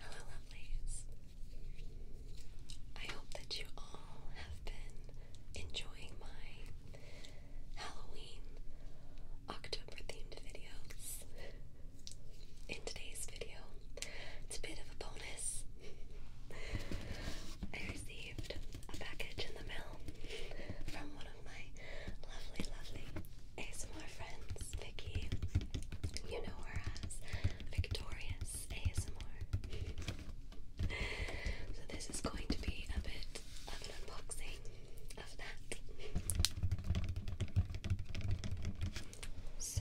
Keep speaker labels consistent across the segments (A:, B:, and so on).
A: Hello, lovelies. I hope that you all have been enjoying my Halloween October themed videos. In today's video, it's a bit of a bonus. I received a package in the mail from one my lovely, lovely ASMR friends, Vicky. You know her as Victorious ASMR. so this is going to be a bit of an unboxing of that. So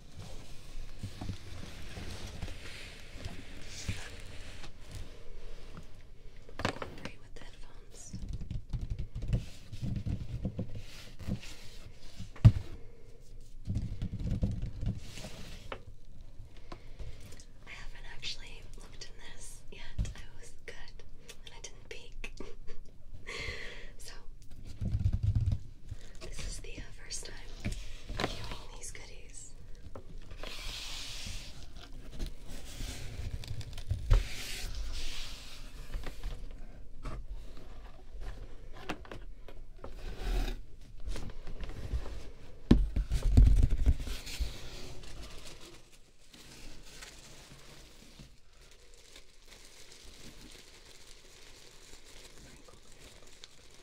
A: Cooperate with I haven't actually looked in this yet. I was good and I didn't peek. so this is the uh, first time viewing these goodies.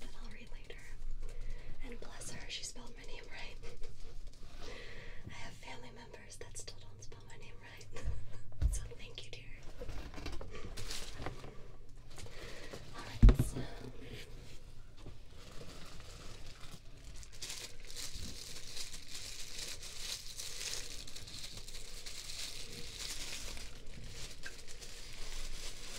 A: But I'll read later. And bless her, she spelled my name right. I have family members that still don't spell my name right. so thank you, dear. Alright,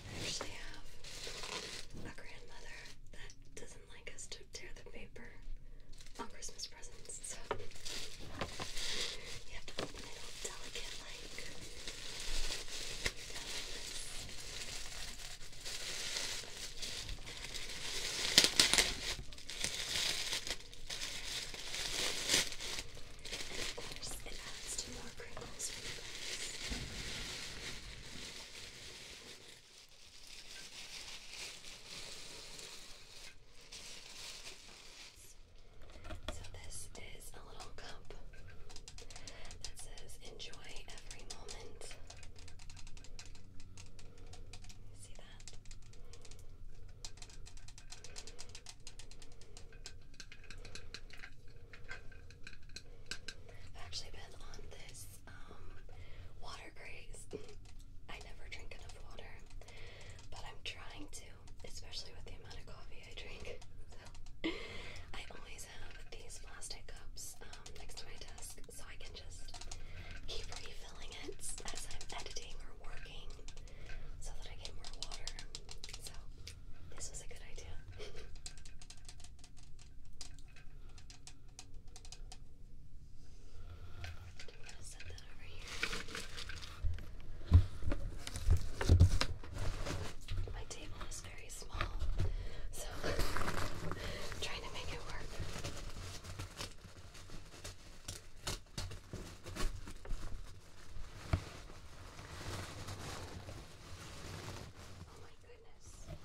A: I actually have a grandmother that doesn't like us to tear the paper on Christmas presents, so you have to open it all delicate like. of course, it adds to more crinkles so, this is a little cup that says enjoy every moment. You see that? I've actually been on this um, water craze. I never drink enough water, but I'm trying to, especially with the amount of coffee I drink. So I always have these plastic cups um, next to my desk, so I can just keep refilling it as I'm editing or working, so that I get more water. So this was a good idea. I'm going to set that over here. My table is very small, so trying to make it work. Oh my goodness.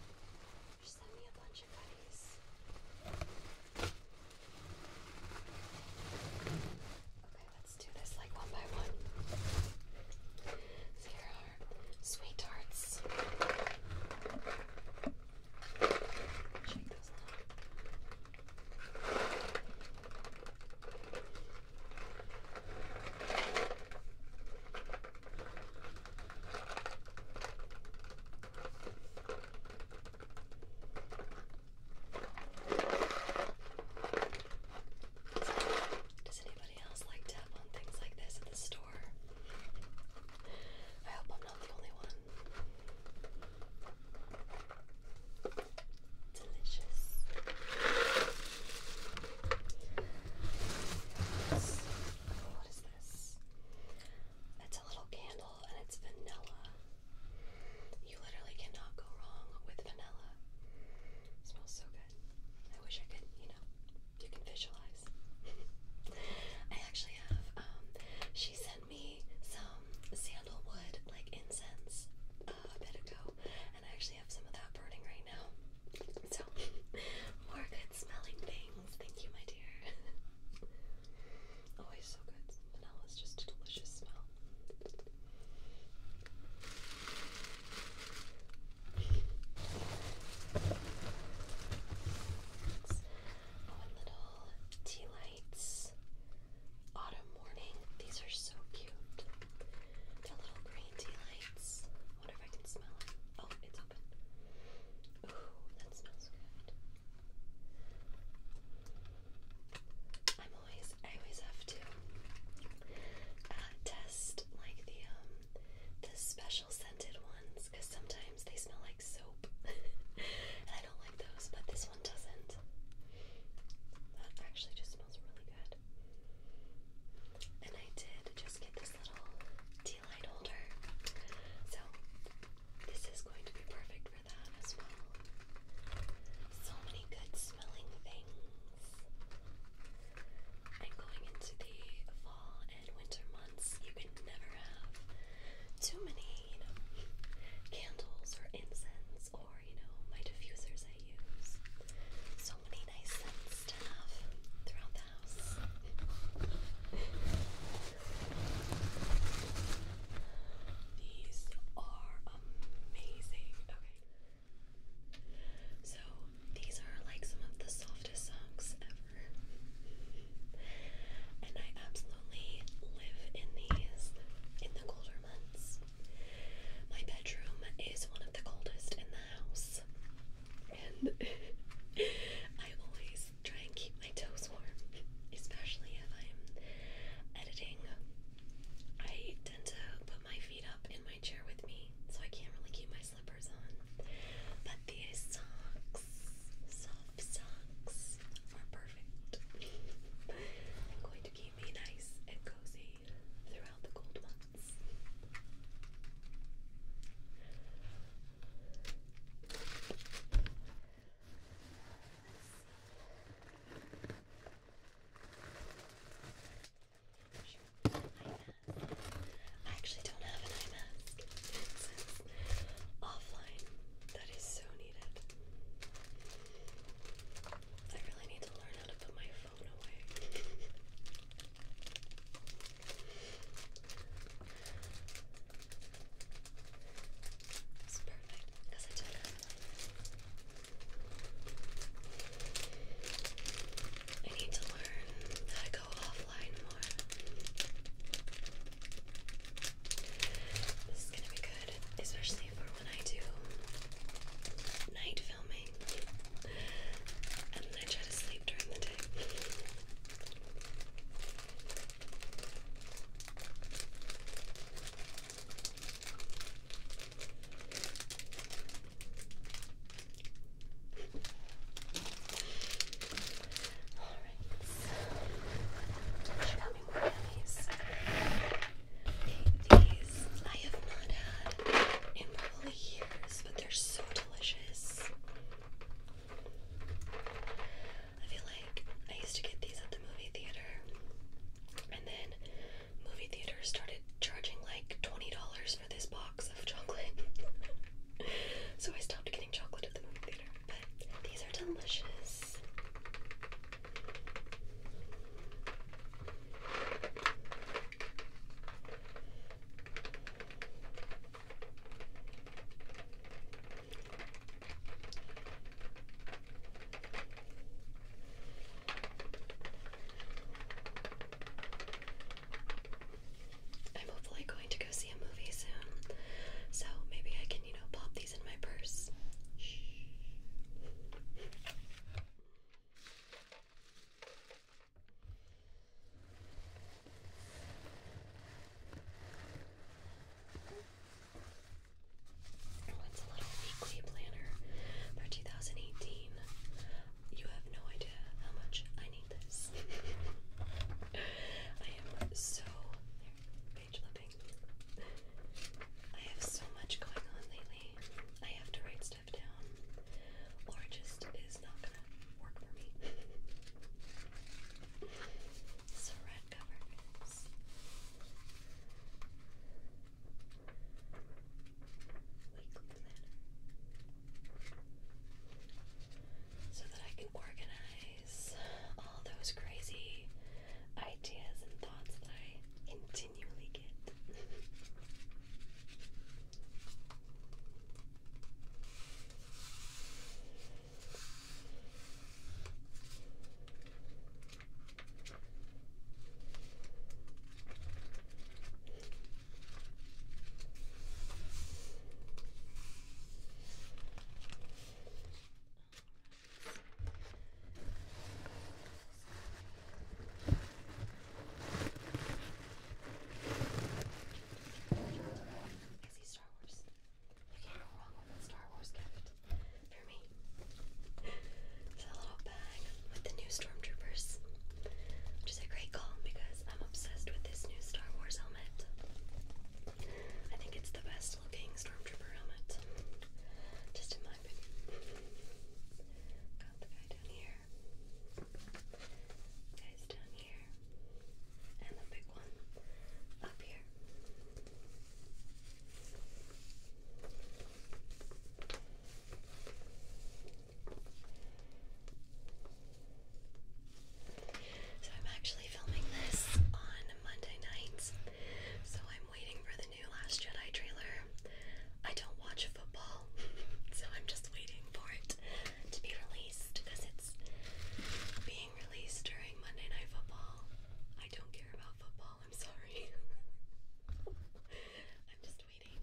A: She sent me a bunch of goodies. Okay, let's do this like one by one. here are sweet tarts. Check those does anybody else like tap on things like this at the store? I hope I'm not the only one delicious. what is this? It's a little candle and it's vanilla. You literally cannot go wrong with vanilla. smells so good. I wish I could, you know, you can visualize. I actually have, um, she sent me some sandalwood like incense a bit ago, and I actually have some of that burning right now. So, more good smelling things. Thank you, my dear. Always so good. Vanilla is just a delicious smell. our little tea lights. Autumn morning. These are so cute. The little green tea wonder if I can smell it. Oh, it's open. Ooh, that smells good. I'm always, I always have to uh, test like the um, the special scented ones because sometimes they smell like soap, and I don't like those. But this one doesn't. That actually just smells really good. And I did just get this little tea light holder. So this is going to be perfect for that as well. So many good smelling things. And going into the fall and winter months, you can never have too many, candles or incense you know my diffusers I use. So many nice scents to have throughout the house. These are amazing. Okay. So these are like some of the softest socks ever. and I absolutely live in these in the colder months. My bedroom is one of the coldest in the house, and I always try and keep my toes warm, especially if I'm editing. I tend to put my feet up in my chair with me, so I can't really keep my slippers on. But these socks, soft socks, are perfect. keep me nice and cozy throughout the cold months. I actually don't have an eye mask. offline. That is so needed. I really need to learn how to put my phone away. It's perfect because I took it. I need to learn how to go offline more. This is gonna be good, especially for when I do night filming and then I try to sleep during the day. All right. So, she got me these I have not had in probably years, but they're so delicious. I feel like I used to get these at the movie theater, and then movie theater started charging like $20 for this box of chocolate. so I stopped getting chocolate at the movie theater, but these are delicious. I'm hopefully going to go see a movie soon, so maybe I can can, you know, pop these in my purse. What's a little weekly planner for 2018? You have no idea how much I need this. I am so page flipping. I have so much going on lately. I have to write stuff down, or it just is not gonna work for me. so red covers. So that I can organize realize all those crazy ideas and thoughts that I continually get. I see Star Wars. You can't go wrong with a Star Wars gift for me. It's a little bag with the new Stormtroopers, which is a great call because I'm obsessed with this new Star Wars helmet. I think it's the best looking stormtrooper helmet. Just in my opinion. Got the guy down here. Guys down here. And the big one up here. So I'm actually filming this on Monday nights. So I'm waiting for the new Last Jedi trailer. I don't watch football, so I'm just waiting for it to be released because it's being released during Monday Night Football. I don't care about football, I'm sorry. I'm just waiting.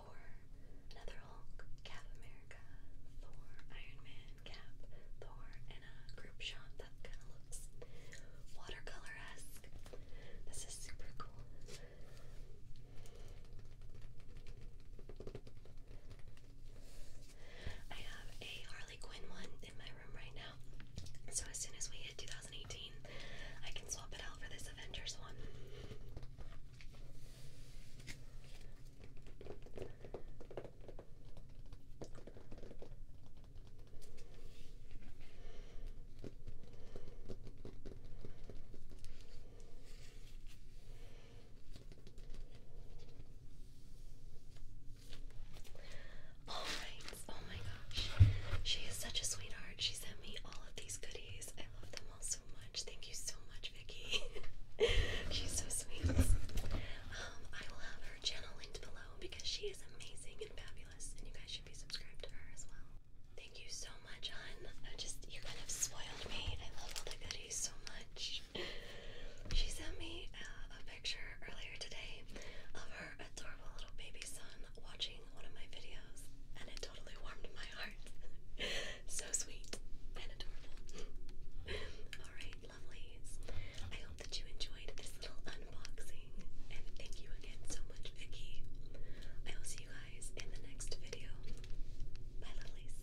A: Thor, another Hulk, Cap America, Thor, Iron Man, Cap, Thor, and a group shot that kind of looks watercolor-esque. This is super cool. I have a Harley Quinn one in my room right now, so as soon as we hit 2018, I can swap it out for this Avengers one. All right. Oh my gosh. She is such a sweetheart. She sent me all of these goodies. I love them so much. Thank you so much, Vicky. She's so sweet. Um, I will have her channel linked below because she is amazing and fabulous, and you guys should be subscribed to her as well. Thank you so much, Hun. just you kind of spoiled me. I love all the goodies so much. She sent me uh, a picture earlier today of her adorable little baby son watching one of my videos, and it totally warmed my heart. so sweet and adorable. Alright, lovelies. I hope that you enjoyed this little unboxing. And thank you again so much, Vicky. I will see you guys in the next video. Bye, lovelies.